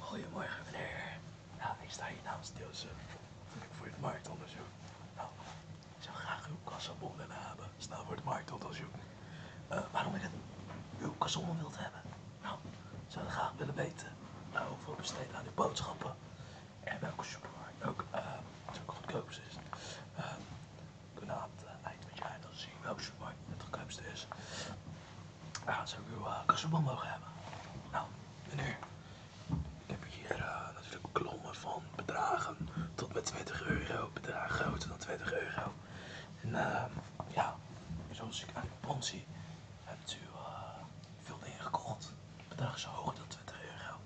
Goedemorgen meneer. Nou, ik sta hier namens Deelsen. Voor het marktonderzoek. Nou, ik zou graag uw kassabon willen hebben. Snel voor het marktonderzoek. Eh, waarom ik het, uw kassabon wilt hebben? Nou, ik zou graag willen weten nou, hoeveel besteed aan uw boodschappen. En welke supermarkt ook, eh, goedkoop is. Eh, kunaat eh, eind aan het jaar, dat is zien welke supermarkt het goedkoopste is. We zou zo uw uh, mogen hebben? Nou, meneer, ik heb hier eh, natuurlijk klommen van bedragen tot met 20 euro, bedragen groter dan 20 euro. En ehm, ja, zoals ik aan uw pond zie, hebt u veel dingen gekocht. bedragen zo hoog hoger dan 20 euro.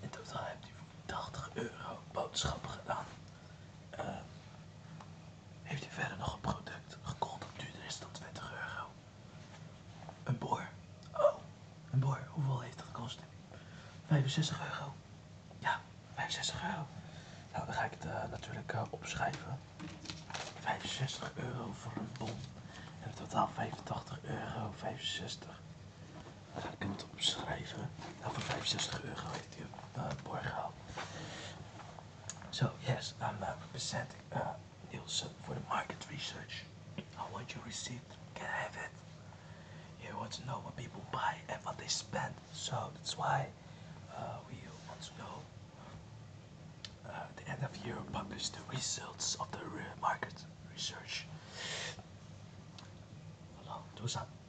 In totaal hebt u voor 80 euro boodschappen gedaan. Eh, heeft u verder nog een product gekocht dat duurder is dan 20 euro? Een boor. Oh, een boor. Hoeveel heeft dat gekost? 65 euro. Ja, 65 euro. Nou, dan ga ik het eh, natuurlijk eh, opschrijven. 65 euro voor een bom. En in totaal 85 euro 65. Dan ga ik hem het opschrijven. Nou, voor 65 euro heeft hij uh, So yes, I'm uh, representing uh, Nielsen uh, for the market research. I want your receipt. Can I have it? You want to know what people buy and what they spend. So that's why uh, we want to know uh, at the end of year publish the results of the market research. Hello, do something.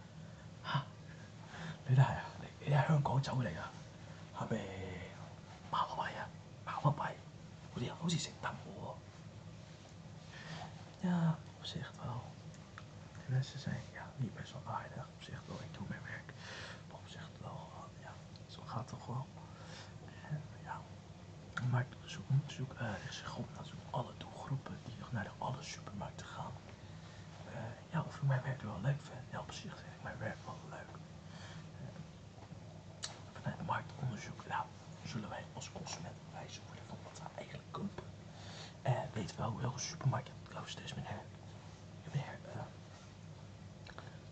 Ik ja, op zich wel. De mensen zijn ja, niet best wel aardig. Op zich wel, ik doe mijn werk. op zich wel, ja, zo gaat het toch wel. En ja, maar zoek, zoek, uh, zich naar zoek alle doelgroepen die naar de alle supermarkten gaan. Eh, ja, of ik mijn werk wel leuk vind. Ja, op ik mijn werk wel leuk. Eh, vanuit de marktonderzoek, nou, zullen wij als consument wijzer worden van wat we eigenlijk kopen. En eh, weten wel, welke supermarkt het is, dus meneer.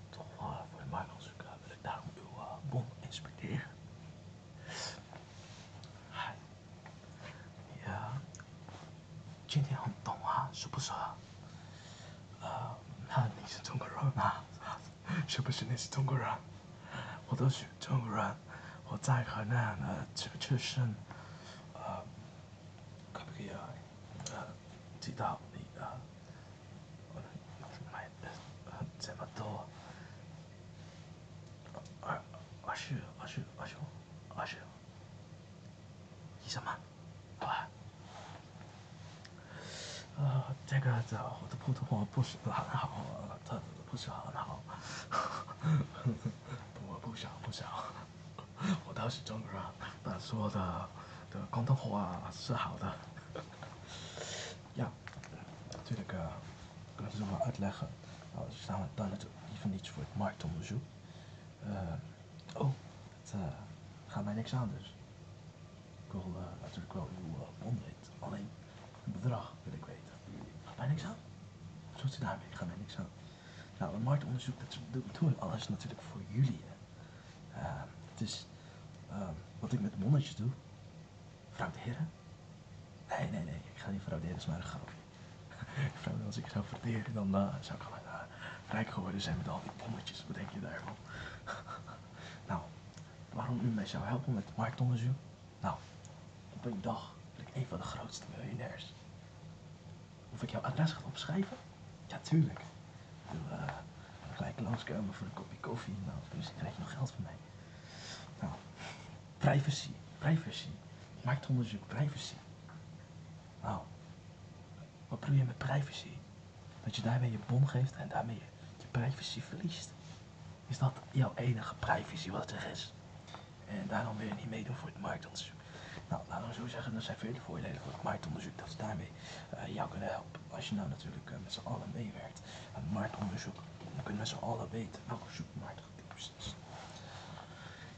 toch voor de marktonderzoek wil ik daarom uw bon inspecteren. Hai. 呀，今天很懂啊，是不是？呃，你是中国人吗？是不是你是中国人？我都是中国人，我在河南，呃，出确实，呃，可不可以啊，呃，知道你啊，我买这么多，二二十二十二十二。十。什么？好吧，呃，这个就我的普通话不是很好，他不是很好，不，不行不行，我倒是中文，但是我的的广东话是好的。要，这个，就是我爱来很，我上段的一份的是为市场同究。Eh, oh, het eh, gaat mij niks aan dus. Ik wil eh, natuurlijk wel uw mond weten. Alleen het bedrag wil ik weten. Gaat mij niks aan. Wat doet u daarmee? Gaat mij niks aan. Nou, het marktonderzoek, dat doen we alles natuurlijk voor jullie. het is wat ik met monnetjes doe. Vrouw de heer, Nee, nee, nee. Ik ga niet vrouw de een smaken. Ik als ik zou verderen, dan eh, zou ik al eh, rijk geworden zijn met al die pommetjes. Wat denk je daarvan? nou, waarom u mij zou helpen met marktonderzoek? Nou, op een dag ben ik een van de grootste miljonairs. Of ik jouw adres ga opschrijven? Ja, tuurlijk. Ik wil eh, gelijk langskomen voor een kopje koffie. Nou, dus krijg je nog geld van mij. Nou, privacy, privacy. Marktonderzoek, privacy. Nou, wat bedoel je met privacy? Dat je daarmee je bom geeft en daarmee je, privacy verliest. Is dat jouw enige privacy wat er is? En daarom wil je niet meedoen voor het marktonderzoek. Nou, laten we zo zeggen, er zijn vele voordelen voor het marktonderzoek dat ze daarmee eh, jou kunnen helpen. Als je nou natuurlijk eh, met z'n allen meewerkt aan het marktonderzoek, dan kunnen we met z'n allen weten welke supermarkt is.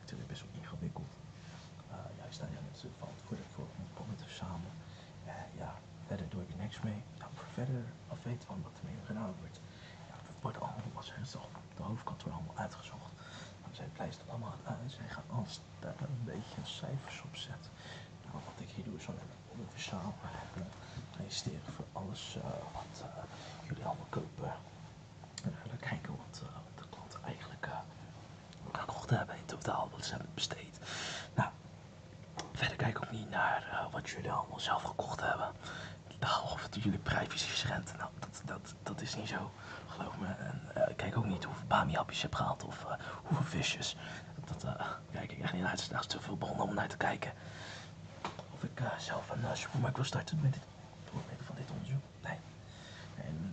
natuurlijk best wel ingewikkeld. Eh, Jij staat daar in het valt voor, voor om te verzamelen. Eh, ja, verder doe ik niks mee. voor verder afweten van wat ermee gedaan wordt. wordt allemaal, wat de hoofdkant wordt allemaal uitgezocht. Dan zijn allemaal uit. en zij gaan alles daar een beetje cijfers op nou, wat ik hier doe is om te verzamelen en registreren voor alles eh, wat jullie allemaal kopen. En dan kijken wat, de klant eigenlijk ik hebben in totaal wat ze hebben besteed. Nou, verder kijk ook niet naar eh, wat jullie allemaal zelf gekocht hebben. Of dat jullie privacy schendt. Nou, dat, dat, dat is niet zo, geloof me. En eh, kijk ook niet hoeveel bami-hapjes je hebt gehaald of eh, hoeveel visjes. Dat, kijk ik echt niet naar. Het is te veel bronnen om naar te kijken. Of ik zelf een supermarkt wil starten met, dit, van dit onderzoek. Nee.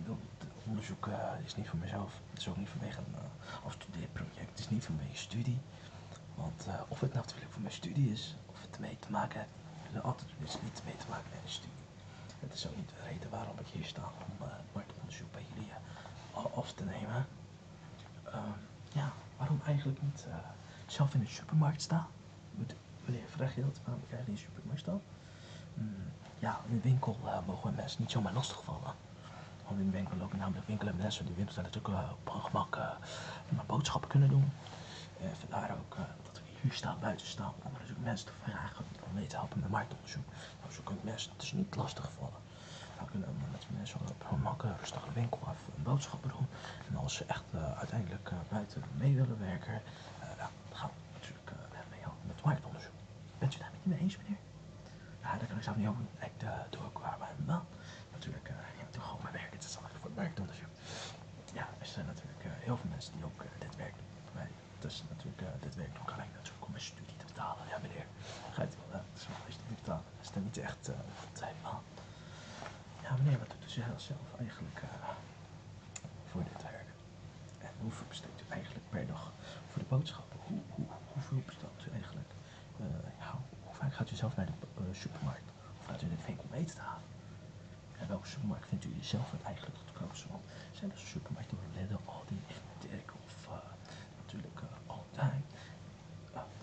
het onderzoek eh, is niet voor mezelf. Het is ook niet voor mijn uh, afstudeerproject. Het is niet mijn studie. Want eh, of het natuurlijk voor mijn studie is, of het ermee te maken heeft. altijd is niet mee te maken met de studie. Het is ook niet de reden waarom ik hier sta om het eh, onderzoek bij jullie af te nemen. Ehm, ja, waarom eigenlijk niet zelf in de supermarkt staan? Meneer, vraag je dat? Waarom ik eigenlijk in de supermarkt sta? Mm, ja, de winkel eh, mogen mensen niet zomaar lastigvallen. Want in de winkel lopen namelijk mensen die winkels natuurlijk eh, op hun gemak eh, maar boodschappen kunnen doen. En vandaar ook dat we hier buiten staan, om dus mensen te vragen om mee te helpen met marktonderzoek. Nou, zo kunnen mensen het dus niet lastigvallen. Dan nou, kunnen met mensen op hun gemak rustig de winkel af een boodschappen doen. En als ze echt uiteindelijk buiten mee willen werken, dan gaan we natuurlijk uh, eh, mee met het marktonderzoek. Bent u daarmee niet mee eens, meneer? Ja, dat kan ik zelf niet Ook Ik eh, doe ook waar mijn Natuurlijk, uh, eh, ik gewoon mijn werk. Het is allemaal voor het marktonderzoek. Ja, er zijn natuurlijk heel veel mensen die ook dit werk doen. Wij, dus natuurlijk, dit werk doen alleen natuurlijk om mijn studie te betalen. Ja, meneer. Ga je het wel, is eens betalen. Dat is dan niet echt uh, zijn man. Ja, meneer, wat doet u zelf eigenlijk? voor dit werk. En hoeveel besteedt u eigenlijk per dag voor de boodschappen? hoeveel bestelt u eigenlijk? Eh, hoe vaak gaat u zelf naar de eh, supermarkt? Of gaat u in de mee te halen? En welke supermarkt vindt u zelf het eigenlijk goedkoopste? Want zijn er supermarkten door Lidl, Aldi, Dirk of eh, natuurlijk uh,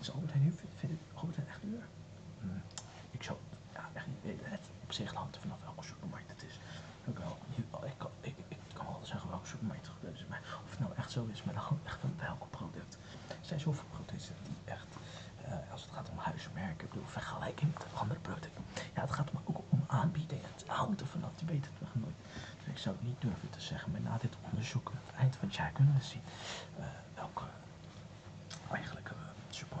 is Albertijn nu, vindt, Albertijn echt duur? Hmm, ik zou echt niet weten. op zich hangt vanaf welke supermarkt het is ik kan, wel zeggen welke supermarkt of het nou echt zo is, maar dan gewoon echt van welke product. Er zijn zoveel producten die echt, eh, als het gaat om huismerken, ik bedoel, vergelijking met andere producten. Ja, het gaat ook om aanbieding. Het houdt ervan af, je weet het nog nooit. Dus ik zou het niet durven te zeggen, maar na dit onderzoek, aan het eind van het jaar kunnen we zien eh, welke eigenlijk we eh,